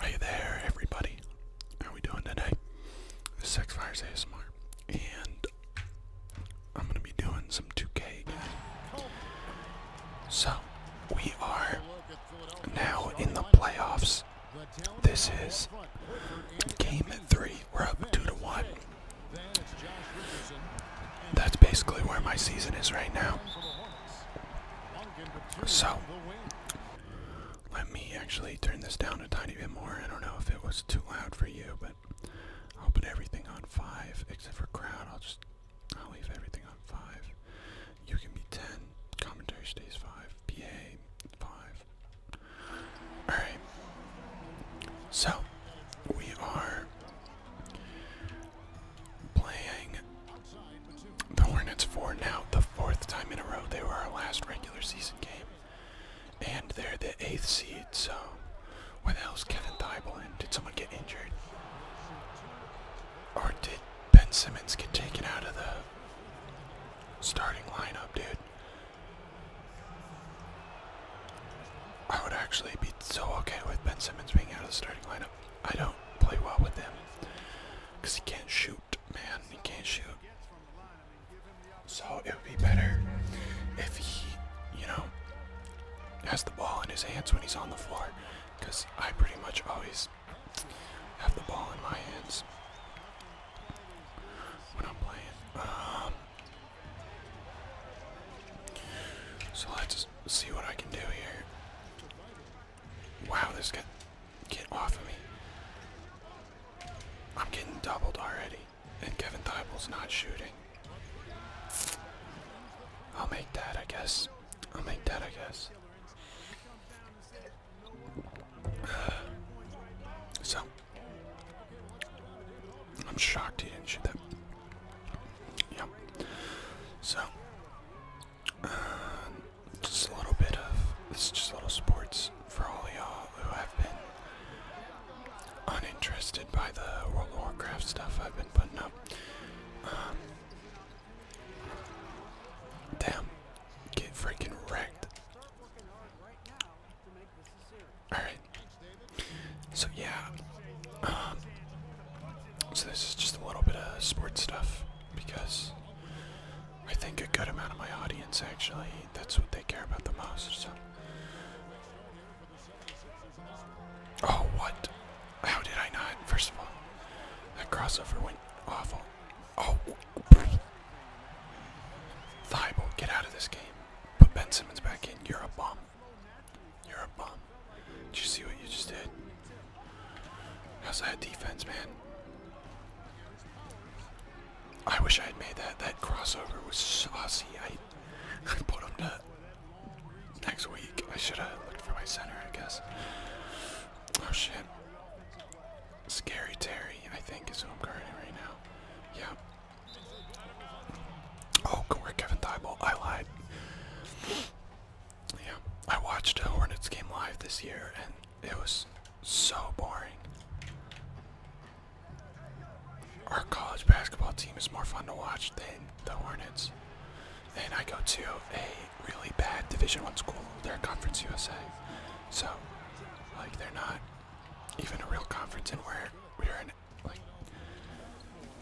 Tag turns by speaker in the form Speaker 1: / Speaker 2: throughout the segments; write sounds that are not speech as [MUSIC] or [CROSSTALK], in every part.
Speaker 1: Are you there, everybody. How are we doing today? This is Sexfires ASMR, and I'm gonna be doing some 2K So we are now in the playoffs. This is game three. We're up two to one. That's basically where my season is right now. So, let me actually turn this down a tiny bit more. I don't know if it was too loud for you, but I'll put everything on 5 except for crowd. I'll just, I'll leave everything on 5. You can be 10. Commentary stays 5. PA 5. Alright. So, we are playing the Hornets for now the fourth time in a row. They were our last regular season game, and they're the eighth seed. So, where what else? Kevin Thibault and did someone get injured, or did Ben Simmons get taken out of the starting lineup, dude? I would actually be so okay with Ben Simmons being out of the starting lineup. I don't play well with him because he can't shoot, man. He can't shoot. So it would be better if he, you know, has the ball in his hands when he's on the floor because I pretty much always have the ball in my hands when I'm playing. Um, so let's see what I can do here. Wow, this got get off of me. I'm getting doubled already, and Kevin Thibault's not shooting. I'll make that, I guess. I'll make that, I guess. [SIGHS] So, I'm shocked he didn't shoot that. Yep. So, uh, just a little bit of this is just little sports for all y'all who have been uninterested by the World of Warcraft stuff I've been putting up. Um, damn, get freaking wrecked. Alright, so yeah, um, so this is just a little bit of sports stuff because I think a good amount of my audience actually that's what they care about the most. So. Oh what? How did I not? First of all, that crossover went awful. Oh, Thibault, get out of this game. Put Ben Simmons back in. You're a bomb. You're a bomb. Did you see what you just did? How's that defense, man? I wish I had made that. That crossover was saucy. I, I put him to next week. I should have looked for my center, I guess. Oh shit. Scary Terry, I think, is who I'm guarding right now. Yeah. Oh, good work, Kevin Thibault. I lied. Yeah, I watched a Hornets game live this year, and it was so boring. Our college basketball team is more fun to watch than the Hornets. And I go to a really bad Division One school. They're Conference USA, so like they're not even a real conference, and we're we're like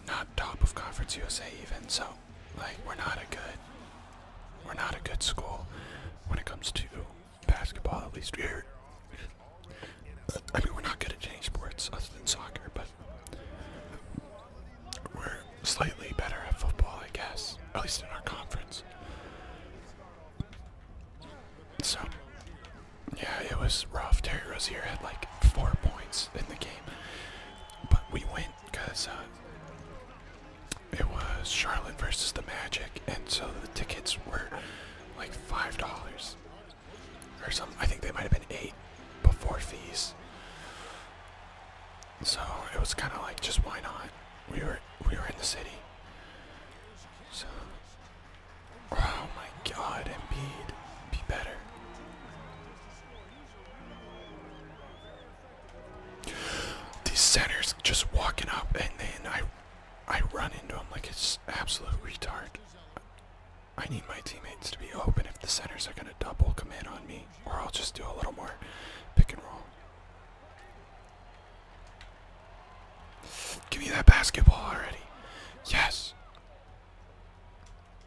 Speaker 1: not top of Conference USA even. So like we're not a good, we're not a good school when it comes to basketball. At least here, I mean, we're not good at any sports other than soccer, but we're slightly better at football, I guess. At least in our conference. So, yeah, it was rough. Terry Rozier had like four points in the game, but we win because uh, it was Charlotte versus the Magic, and so the tickets were like five dollars or something. I think they might have been eight before fees. So it was kind of like just why not? We were we were in the city. So oh my God, Embiid, be better. These centers just walking up, and then I, I run into them like it's absolute retard. I need my teammates to be open if the centers are gonna double come in on me, or I'll just do a little more pick and roll. Give me that basketball already. Yes.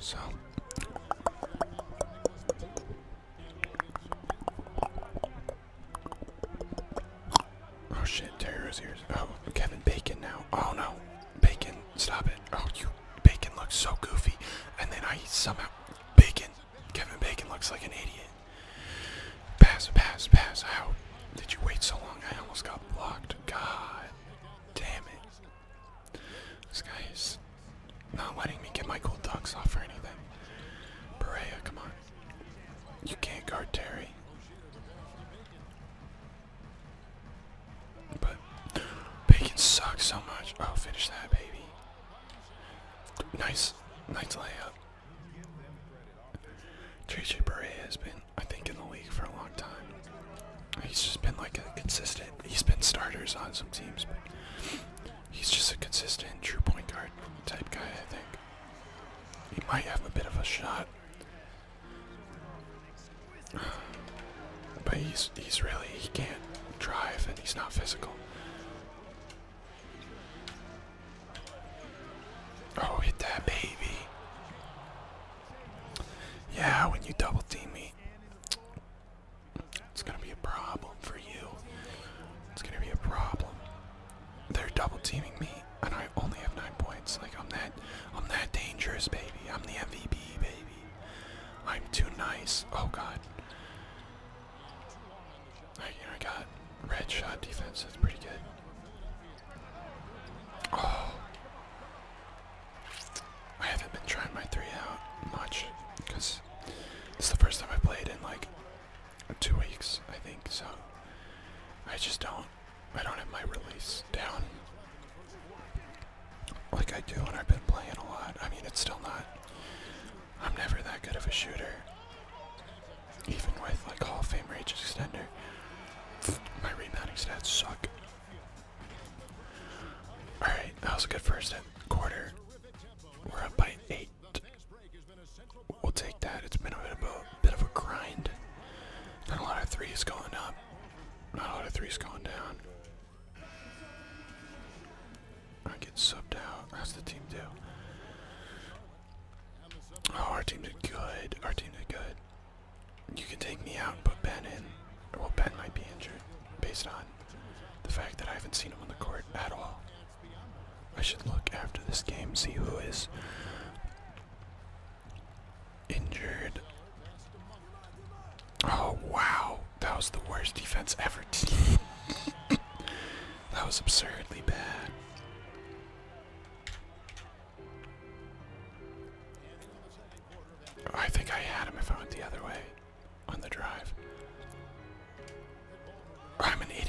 Speaker 1: So Oh shit, Terrier's ears. Oh, Kevin Bacon now. Oh no. Bacon, stop it. Oh you Bacon looks so goofy. And then I somehow Bacon. Kevin Bacon looks like an idiot. Pass, pass, pass. How did you wait so long? I almost got blocked. God damn it. This guy is not letting me get my gold ducks off or anything. Berea, come on. You can't guard Terry. But bacon sucks so much. Oh, finish that, baby. Nice, nice layup. JJ Bray has been, I think, in the league for a long time. He's just been like a consistent. He's been starters on some teams, but he's just a consistent true point guard type guy. I think he might have a bit of a shot, but he's he's really he can't drive and he's not physical. Oh, hit that baby. Yeah, when you double team me, it's gonna be a problem for you. It's gonna be a problem. They're double teaming me, and I only have nine points. Like I'm that, I'm that dangerous, baby. I'm the MVP, baby. I'm too nice. Oh God. I, got red shot defense. That's pretty good. Oh. I haven't been trying my three out much because it's the first time I played in like two weeks, I think. So I just don't, I don't have my release down like I do, when I've been playing a lot. I mean, it's still not. I'm never that good of a shooter. Even with like Hall of Fame range extender, my rebounding stats suck. Alright, that was a good first quarter. We're up by eight. We'll take that. It's been a bit of a, bit of a grind. Not a lot of threes going up. Not a lot of threes going down. I get subbed out. That's the team deal. Oh, our team did good. Our team did good. You can take me out and put Ben in. Well, Ben might be injured based on the fact that I haven't seen him on the court at all. I should look after this game, see who is injured. Oh, wow. That was the worst defense ever. [LAUGHS] that was absurdly bad. I think I had him if I went the other way on the drive. I'm an idiot. [LAUGHS]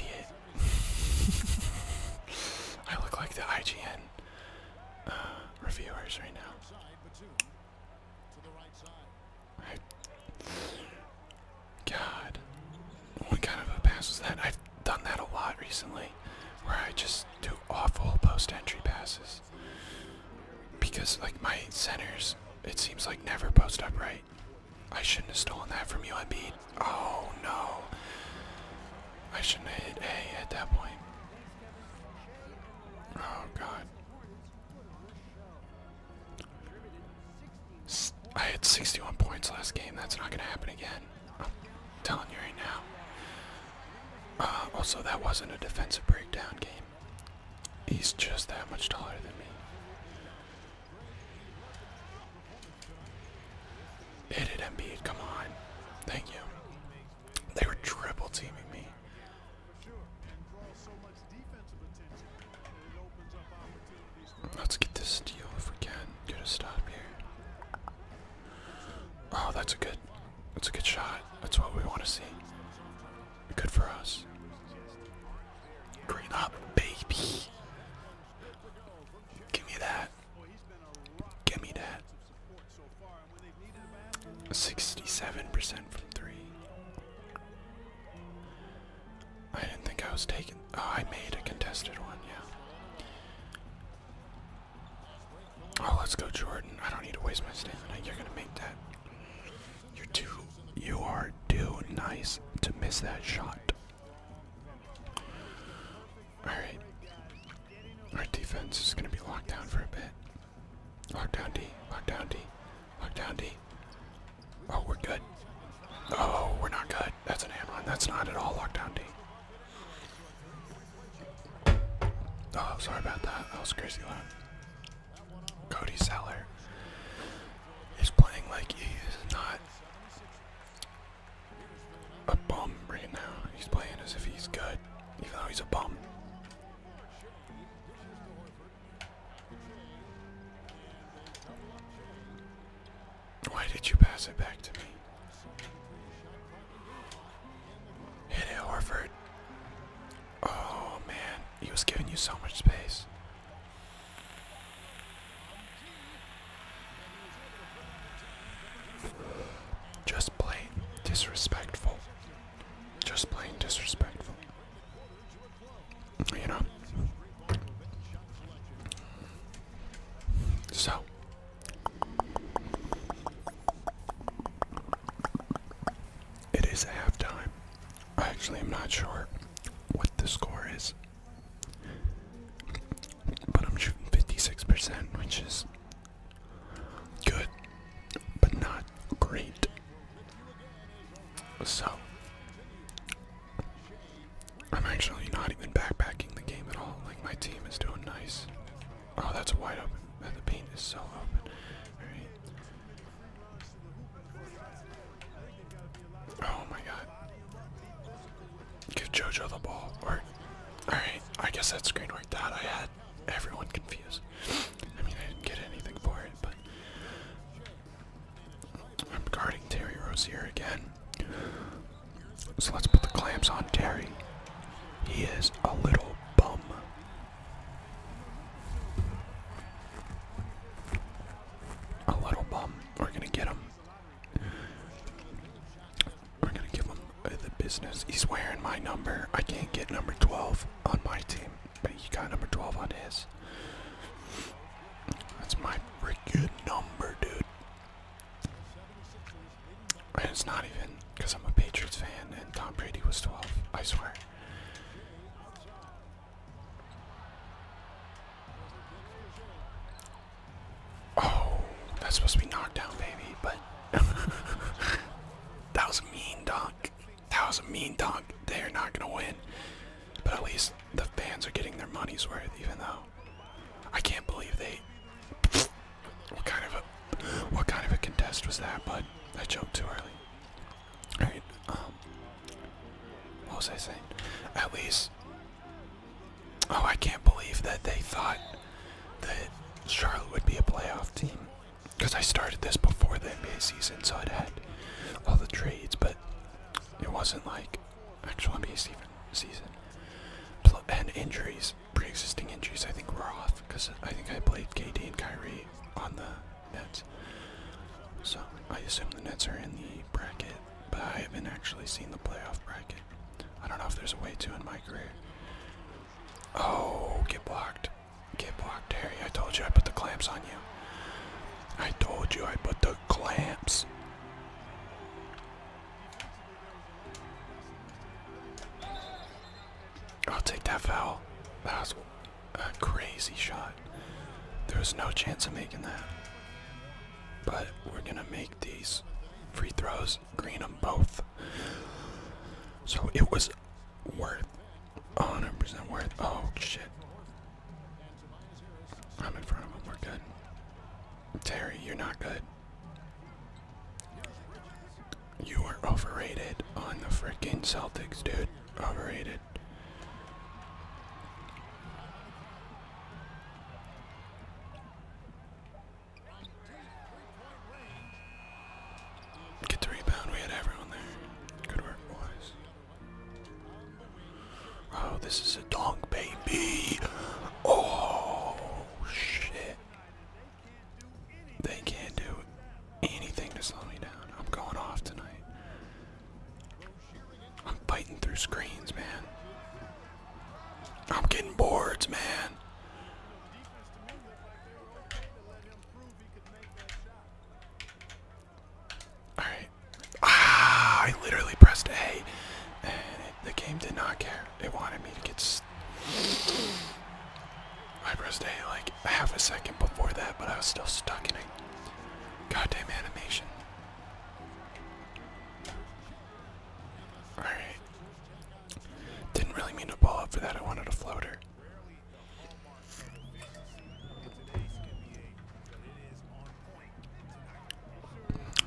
Speaker 1: I look like the IGN uh, reviewers right now. God, what kind of a pass was that? I've done that a lot recently where I just do awful post entry passes. Because, like, my centers, it seems like never post upright. I shouldn't have stolen that from you, beat. Oh no. I shouldn't have hit A at that point. Oh god. S I had 61 points last game. That's not going to happen again. I'm telling you right now. Uh, also, that wasn't a defensive breakdown game. He's just that much taller than me. Hit it, Embiid. Come on. Thank you. They were triple teaming me. Let's get this deal if we can. Get a stop here. Oh, that's a good that's a good shot. That's what we want to see. Good for us. Green up, baby. Give me that. Give me that. 67% from three. I didn't think I was taking. Oh, I made a contested one, yeah. Oh, let's go, Jordan. I don't need to waste my stamina. You're gonna make that. You're too. You are too nice to miss that shot. Alright. Our defense is gonna be locked down for a bit. down D. down D. down D. Oh, we're good. Oh, we're not good. That's an Amron. That's not at all lockdown D. Oh, sorry about that. That was crazy Cody Seller is playing like he is not a bum right now. He's playing as if he's good, even though he's a bum. Why did you pass it back to me? Hit it, Horford. Oh man, he was giving you so much space. Just plain disrespectful. Just plain disrespectful. You know? So it is halftime. I actually am not sure what the score is. But I'm shooting 56%, which is good, but not great. So I'm actually not even backpacking the game at all. Like, my team is doing nice. Oh, that's a wide open. Man, the paint is so open. Oh my god. Give JoJo the ball. Or, alright, I guess that screen worked out. I had everyone confused. I mean, I didn't get anything for it, but I'm guarding Terry Rozier again. So let's put the clamps on Terry. He is a little bum. A little bum. We're gonna get him. We're gonna give him uh, the business. He's wearing my number. I can't get number 12 on my team, but he got number 12 on his. That's my freaking number, dude. And it's not even because I'm a Patriots fan and Tom Brady was 12, I swear. Oh, that's supposed to be knockdown, baby, but [LAUGHS] that was a mean dunk. That was a mean dunk. They're not going to win. But at least the fans are getting their money's worth, even though I can't believe they. What kind of a what kind of a contest was that? But I jumped too early. All right. Um, what was I saying? At least. Oh, I can't believe that they thought that Charlotte would be a playoff team. Because I started this before the NBA season, so it had all the trades, but it wasn't like actual NBA season. And injuries, pre-existing injuries, I think we're off because I think I played KD and Kyrie on the Nets. So I assume the Nets are in the bracket, but I haven't actually seen the playoff bracket. I don't know if there's a way to in my career. Oh, get blocked. Get blocked, Harry. I told you I put the clamps on you. I told you I put the clamps I'll take that foul. That was a crazy shot. There was no chance of making that. But we're gonna make these free throws, green them both. So it was worth, 100% worth. Oh shit. I'm in front of him. We're good. Terry, you're not good. You were overrated on the freaking Celtics, dude. Overrated. Get the rebound. We had everyone there. Good work, boys. Oh, this is a donk, baby. Oh, shit. They can't do anything to slow me down. I'm going off tonight. I'm fighting through screens, man. I'm getting boards, man. Alright. Ah, I literally pressed A. And the game did not care. It wanted me to get. I pressed A like half a second before that, but I was still stuck in a goddamn animation. Alright. Didn't really mean to pull up for that, I wanted a floater.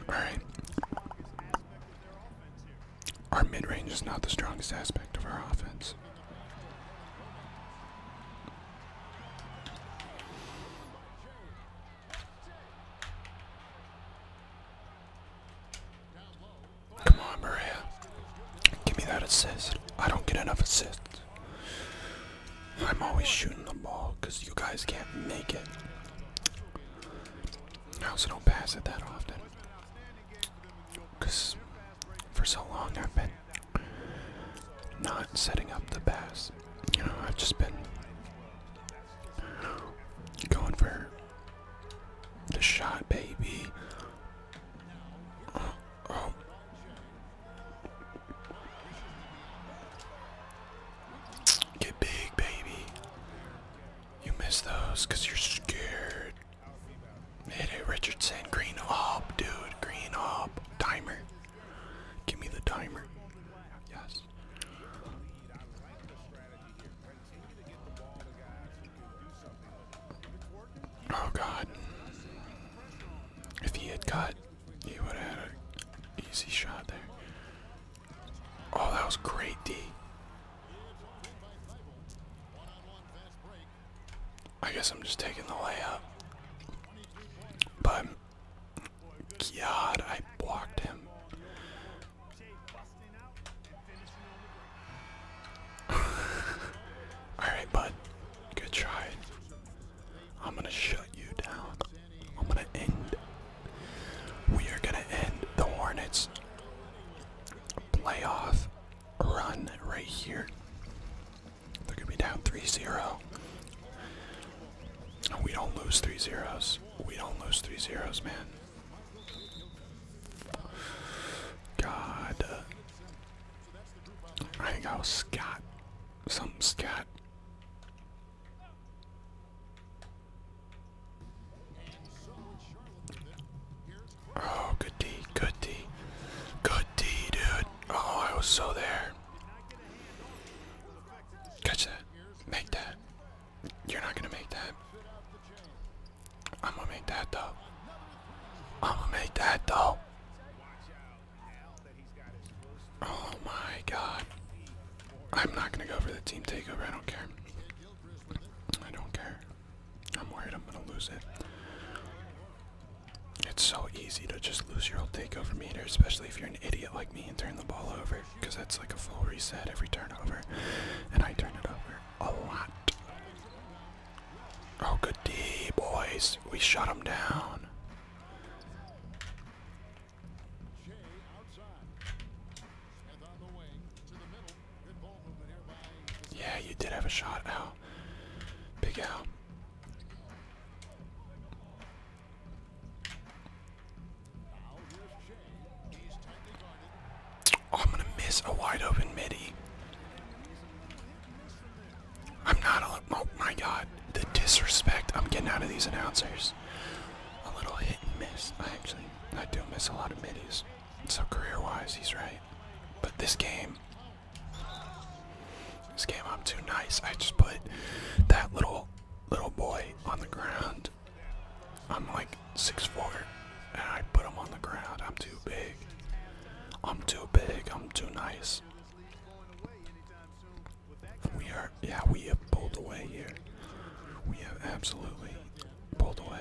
Speaker 1: Alright. Our mid range is not the strongest aspect of our offense. Come on, Maria. Give me that assist. I don't get enough assists. I'm always shooting the ball because you guys can't make it. I also don't pass it that often. Because for so long I've been not setting up the pass. You know, I've just been going for the shot, baby. Oh, oh. Get big, baby. You miss those because you're scared. Hit it, Richardson. Green up, dude. Green up. Timer. Give me the timer. Yes. Oh, God. If he had got he would have had an easy shot there. Oh, that was great, D. I guess I'm just taking the layup. But, God, I blocked him. [LAUGHS] Alright, bud. Good try. I'm gonna shut you down. I'm gonna end. We are gonna end the Hornets playoff run right here. They're gonna be down 3-0. We don't lose three zeros. We don't lose three zeros, man. God. I think I was Scott. Some Scott Oh, good D, good D, good D, dude. Oh, I was so there. Catch that. Make that. You're not gonna make that. I'm gonna make that though. I'm gonna make that though. Oh my god. I'm not gonna go for the team takeover. I don't care. I don't care. I'm worried I'm gonna lose it. It's so easy to just lose your old takeover meter, especially if you're an idiot like me and turn the ball over, because that's like a full reset every turnover. And I turn it over a lot. Oh, good D, boys. We shut them down. Yeah, you did have a shot. Ow. Big Al. Oh, I'm going to miss a wide open midi. I'm not a oh my god, the disrespect I'm getting out of these announcers. A little hit and miss. I actually I do miss a lot of middies. So career wise he's right. But this game this game I'm too nice. I just put that little little boy on the ground. I'm like six four, and I put him on the ground. I'm too big. I'm too big. I'm too nice. We are, yeah, we have pulled away here. We have absolutely pulled away.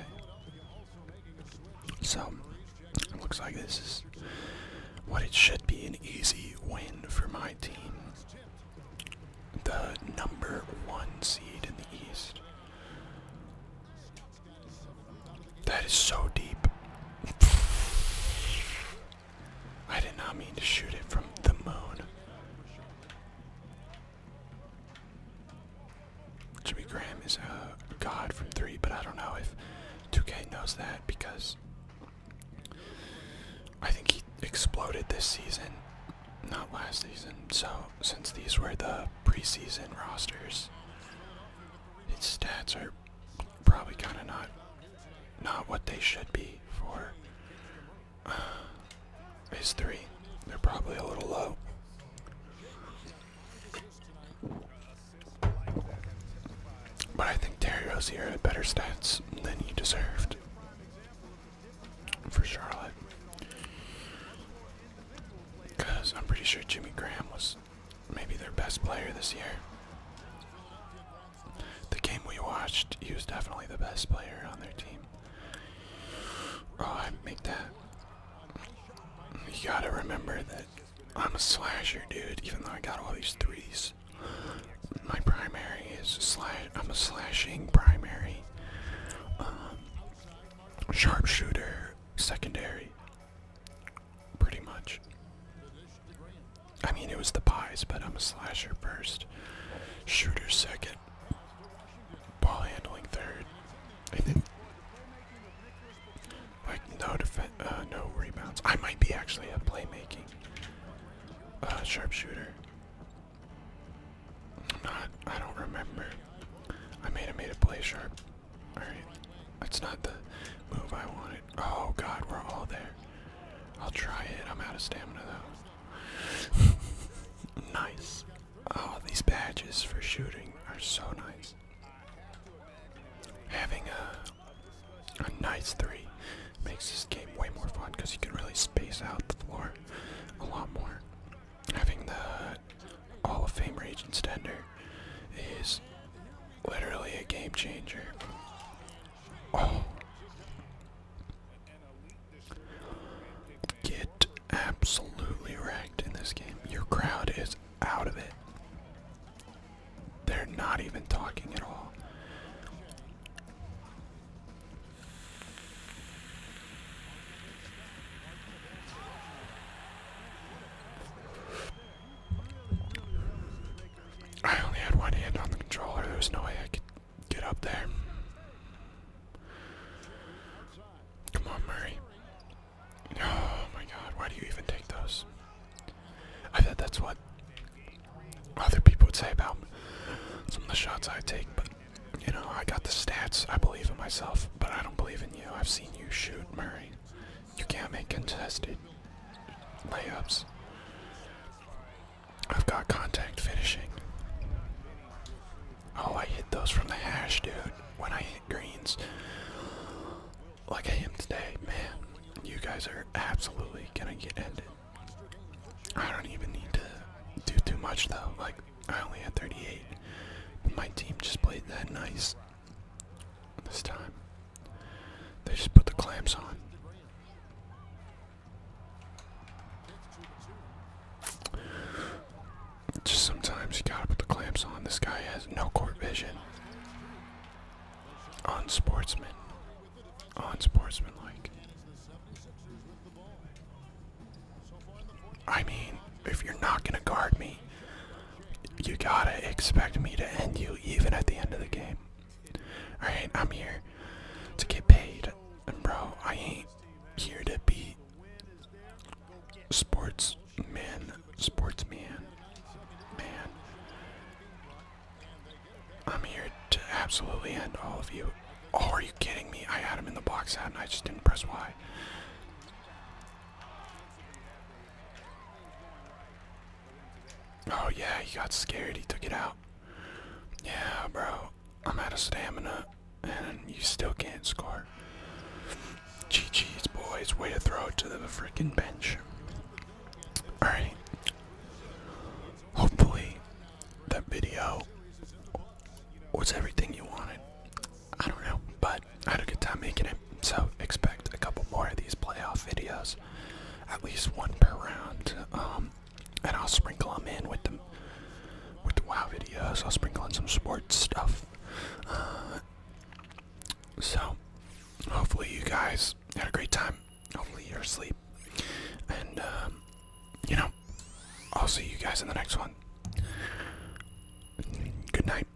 Speaker 1: So, it looks like this is what it should be an easy win for my team. The number one seed in the East. That is so deep. I did not mean to shoot it from the moon. Jimmy Graham is a god from three, but I don't know if 2K knows that because I think he exploded this season, not last season. So since these were the preseason rosters, his stats are probably kind of not not what they should be for uh, three. They're probably a little low. But I think Terry Rozier had better stats than he deserved for Charlotte. Because I'm pretty sure Jimmy Graham was maybe their best player this year. The game we watched, he was definitely the best player on their team. Oh, I make that. You gotta remember that I'm a slasher, dude. Even though I got all these threes, my primary is slash. I'm a slashing primary, um, sharpshooter secondary, pretty much. I mean, it was the pies, but I'm a slasher first, shooter second, ball handling third, I think like no defense, uh, no rebounds. I might be actually a playmaking uh, sharpshooter. I'm not. I don't remember. I made a made a play sharp. All right, that's not the move I wanted. Oh god, we're all there. I'll try it. I'm out of stamina though. [LAUGHS] nice. Oh, these badges for shooting are so nice. Having a a nice three makes this game way more fun because you can really space out the floor a lot more. Having the all of Famer agent tender is Literally a game changer. Oh. Get absolutely wrecked in this game. Your crowd is out of it. They're not even talking at all. I only had one hand on the controller. There was no way I could get up there. Come on, Murray. Oh my god, why do you even take those? I bet that's what other people would say about some of the shots I take, but you know, I got the stats. I believe in myself, but I don't believe in you. I've seen you shoot, Murray. You can't make contested layups. I've got contact finishing. Oh, I hit those from the hash, dude, when I hit greens. Like I am today, man. You guys are absolutely gonna get ended. I don't even need to do too much, though. Like, I only had 38. But my team just played that nice. This time, they just put the clamps on. Just sometimes you gotta put the clamps on. This guy has no court vision. On sportsman. On sportsman like. I mean, if you're not gonna guard me, you gotta expect me to end you even at the end of the game. Alright, I'm here to get paid. And bro, I ain't here to be sports sportsman. Sportsman. Man. I'm here to absolutely end all of you. Oh, are you kidding me? I had him in the box out and I just didn't press Y. Oh yeah, he got scared. He took it out. Yeah, bro. I'm out of stamina, and you still can't score. GG's, boys. Way to throw it to the freaking bench. Alright. Hopefully, that video was everything you wanted. I don't know, but I had a good time making it. So expect a couple more of these playoff videos, at least one per round. Um, and I'll sprinkle them in with the with the WoW videos. I'll sprinkle in some sports stuff. Uh, so hopefully you guys had a great time. Hopefully you're asleep, and um, you know I'll see you guys in the next one. Good night.